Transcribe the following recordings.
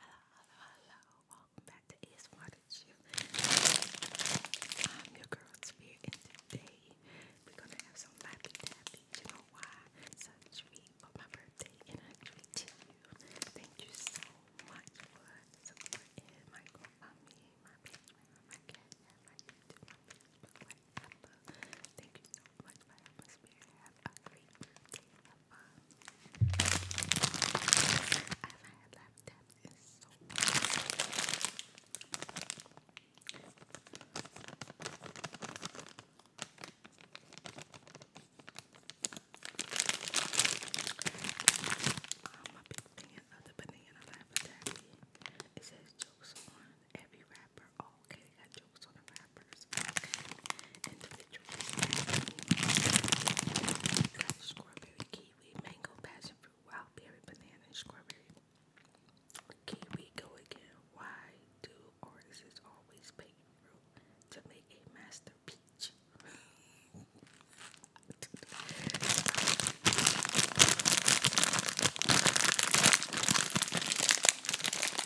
Hello, hello, hello. Welcome back to ASMR You. I'm your girl Spirit and today we're gonna have some lappy tappy. You know why? It's a for my birthday and Thank you so much for my GoFundMe, my Patreon, my cat, my YouTube, my Facebook, whatever. Thank you so much for helping Spirit have a great birthday. I've had laptops in so I'm a big the banana It says jokes on every rapper okay, they got jokes on the rappers. Okay, individuals. Got strawberry, kiwi, mango, passion fruit, wild berry, banana, strawberry. Kiwi go again. Why do artists always paint to make a master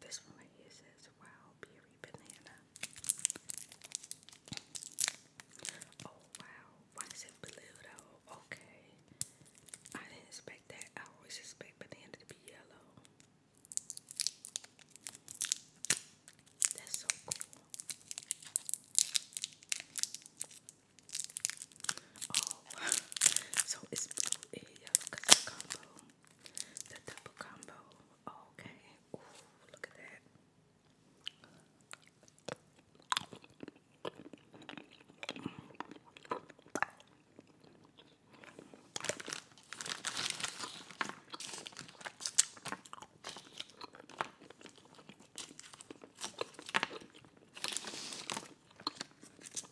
This one right here says wild berry banana. Oh wow, why is it blue though? Okay. I didn't expect that. I always expect banana to be yellow. That's so cool. Oh, so it's blue and yellow because combo. The double combo. Okay. look at that.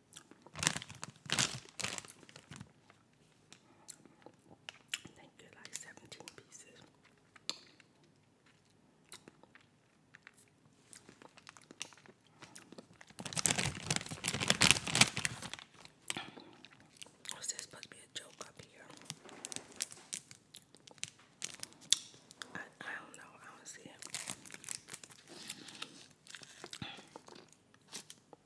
I think they like 17 pieces. Was oh, there supposed to be a joke up here? I, I don't know. I don't see it.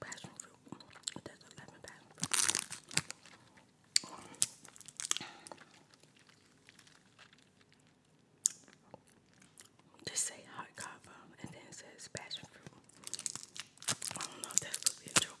passion fruit. Just say hot cover and then it says passion fruit. I don't know if that's supposed to be a joke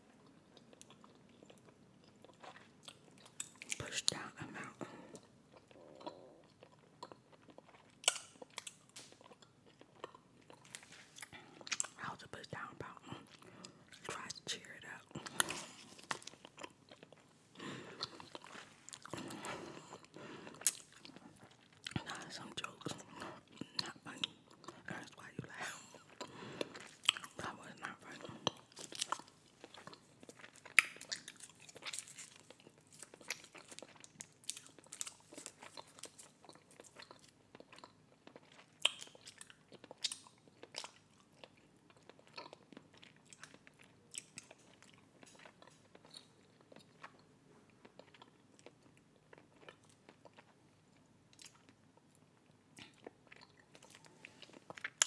Push down a mountain. How to push down a mountain. Try to cheer it up. Not some jokes. not funny. That's why you laugh. That was not funny.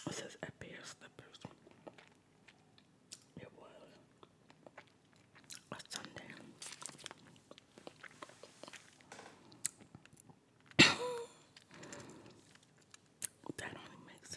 It says a pair It was a Sunday. that only makes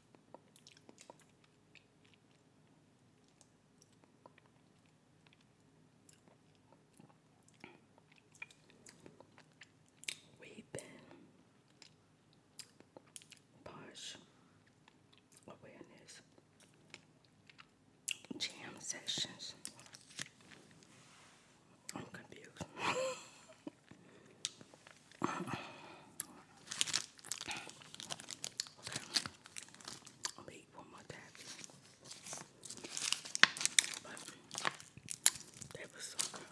We've Posh Awareness Jam Sessions. I'm confused. Okay. I'm gonna eat one more time. But that was so good.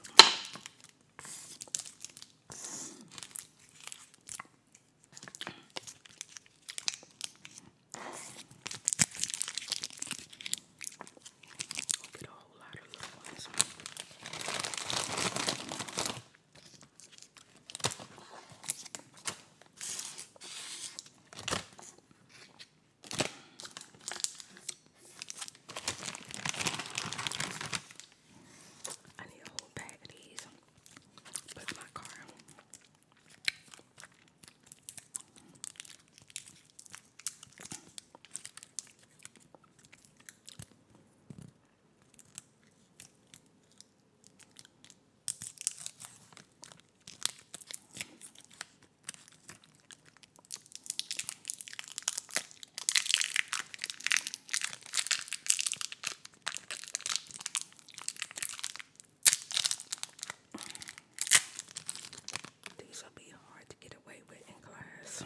I'll get a whole lot of little ones. need a whole bag of these. Put in my car. These will be hard to get away with in class.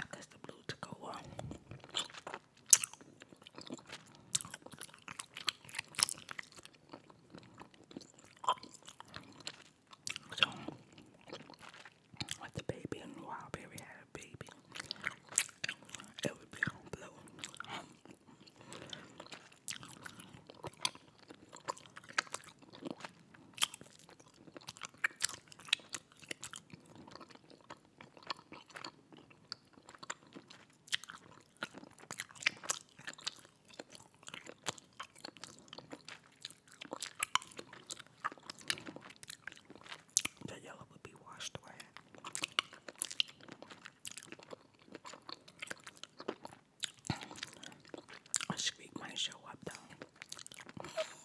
I guess the blue to go on. So, with the baby and Wildberry had a baby, it would be on blue. The yellow would be washed away. A shriek might show up though.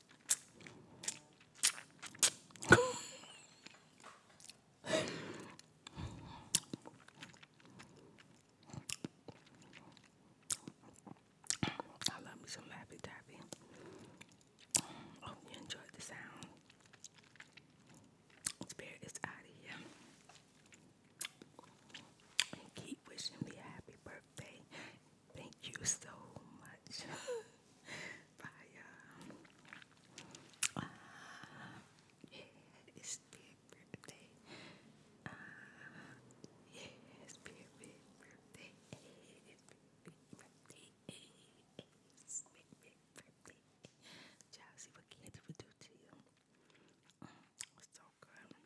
I love me some Lappy Tappy. hope you enjoyed the sound. Spirit is out of here. keep wishing me a happy birthday Thank you so much. Bye, ah, yeah, it's birthday. Uh, yeah, it's birthday. Hey, it's it's birthday. Y'all candy would do to you. Mm, so good.